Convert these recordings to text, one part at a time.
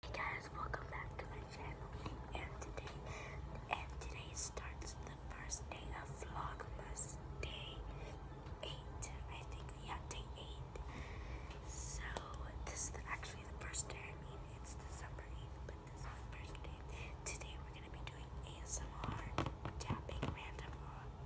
Hey guys, welcome back to my channel, and today, and today starts the first day of Vlogmas, day 8, I think, yeah, day 8, so this is actually the first day, I mean, it's December 8th, but this is the first day, today we're going to be doing ASMR, tapping random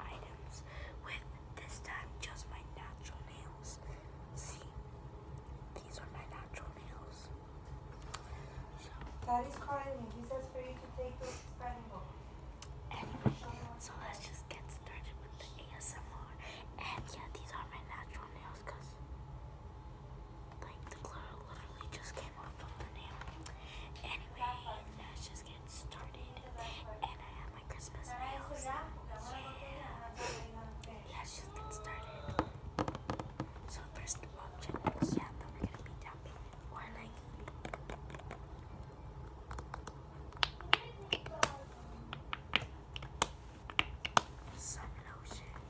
uh, items, with, this time, just my natural nails, see, these are my natural nails. So, Daddy's calling me. He says for you to take those spelling book. Anyway, so let's just get started with the ASMR. And yeah, these are my natural nails because like the glitter literally just came off of the nail. Anyway, let's just get started. And I have my Christmas nails. Yeah let's just get started. So first option yeah, that we're gonna be tapping or like some lotion.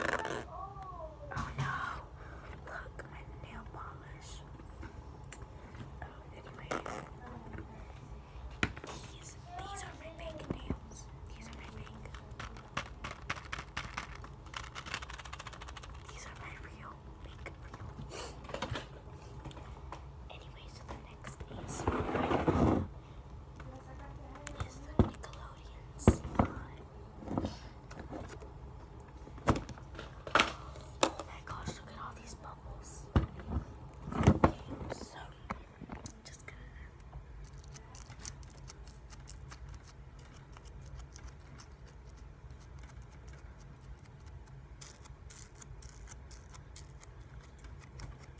Oh no! Look, my nail polish. Oh, anyways, these these are my fake nails. These are my fake. These are my real fake Anyways, the next is. Oh my gosh, look at all these bubbles. Okay, so just gonna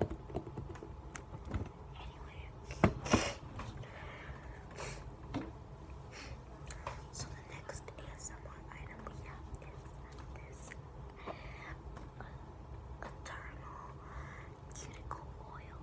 Anyway. So the next ASMR item we have is this uh, eternal cuticle oil.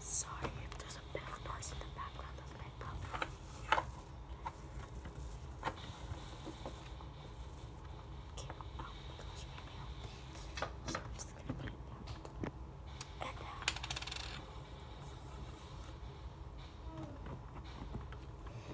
Sorry if there's a bit of noise in the background of my puppy. Okay, oh, I'm just gonna put it down. And now uh,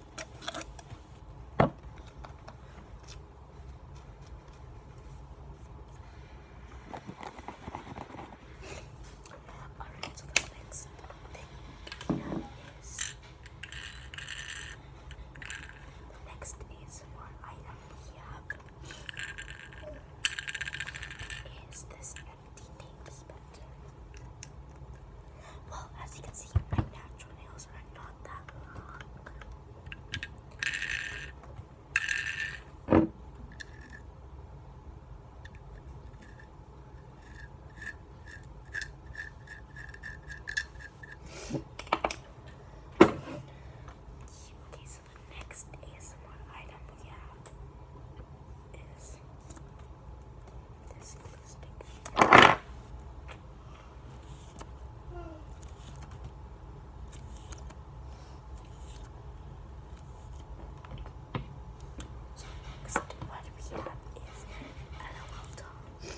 Alright, so the next thing is the next is one item we this well, as you can see, my natural nails are not that long. Okay, so the next ASMR item we this So next what we have is a local doll.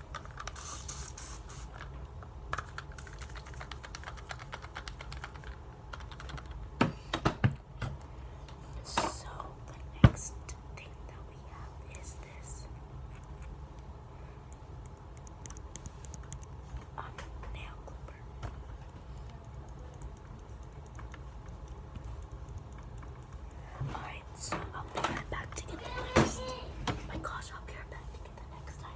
So the next thing that we have is this um, nail clipper. Alright, so I'll be right back to get my gosh, I'll back look at the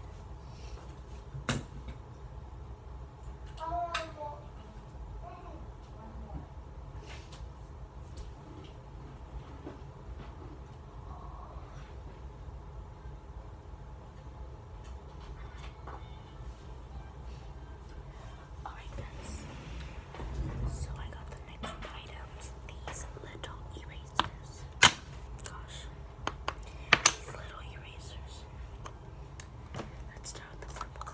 Alright guys, so I got the next items, these little erasers. Gosh, these little erasers. Let's start with the purple.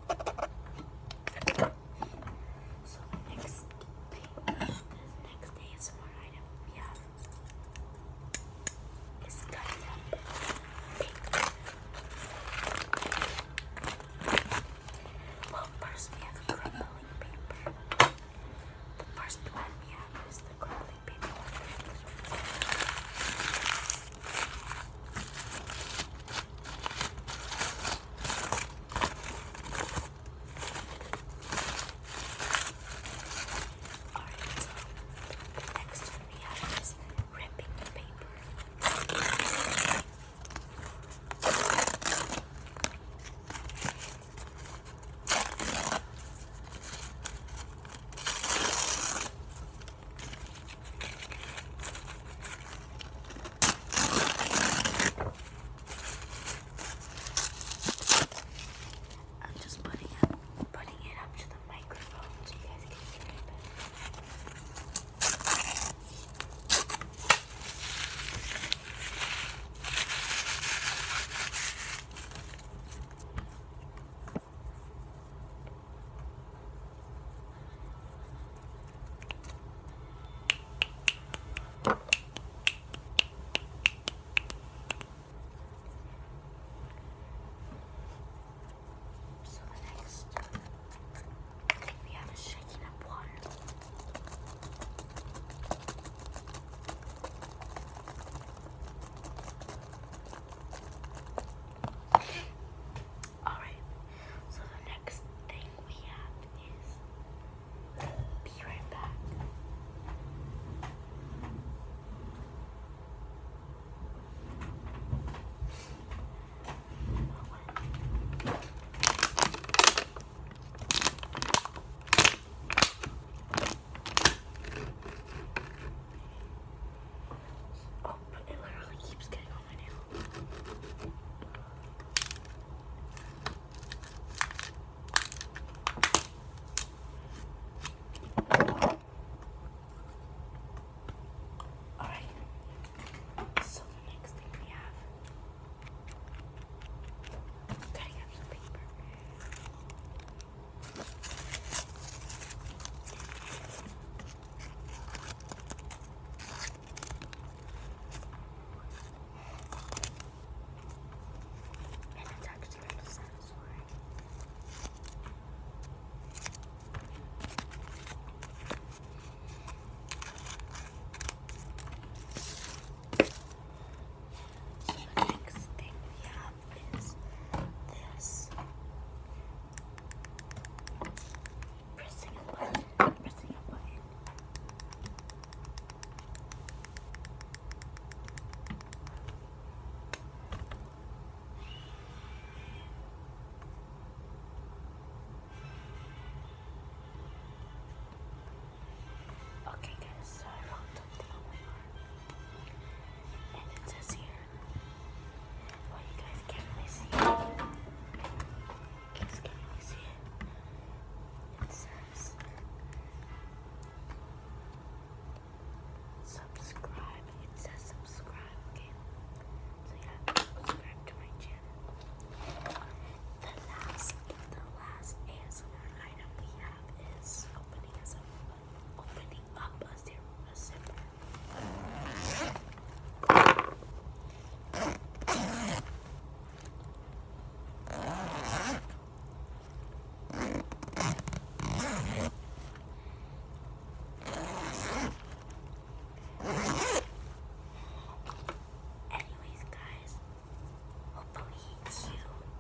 So next, next ASMR item we have Well, first we have crumbling paper. The first one we have is the crumbling paper. Alright, so next one we have is ripping the paper. I'm just putting up, putting it up to the microphone so you guys can hear it better. So the next thing we have is shaking up water. Alright, so the next thing we have is be right back. Oh, but it literally keeps getting on my nail. Alright, so the next thing we have I'm some paper. And it's actually a dinosaur. So the next thing we have is this Pressing a button, pressing a button. Okay guys, so I rolled something on my And it says here well, you guys can't really see can't really see it. says subscribe. It says subscribe. Okay. So you subscribe to my channel. The last, the last ASMR item we have is opening up, opening up a zipper. Anyways, guys, hopefully you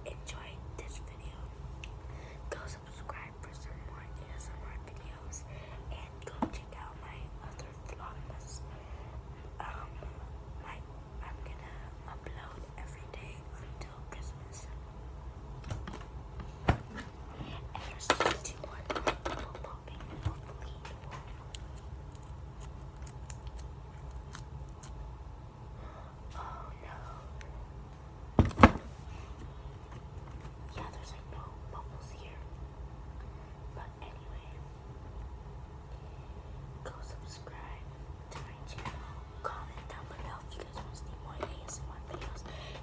enjoyed this video. Go subscribe for some more ASMR videos and go check out my other vlogs. Um, my, I'm gonna upload every day until Christmas. And there's 61 more people Oh no, yeah, there's like no bubbles here. But anyway, go subscribe to my channel. Comment down below if you guys want to see more ASMR videos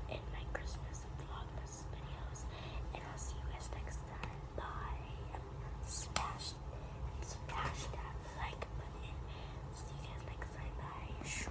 and my Christmas vlogmas videos. And I'll see you guys next time. Bye. Smash, smash that like button. See you guys next time. Bye.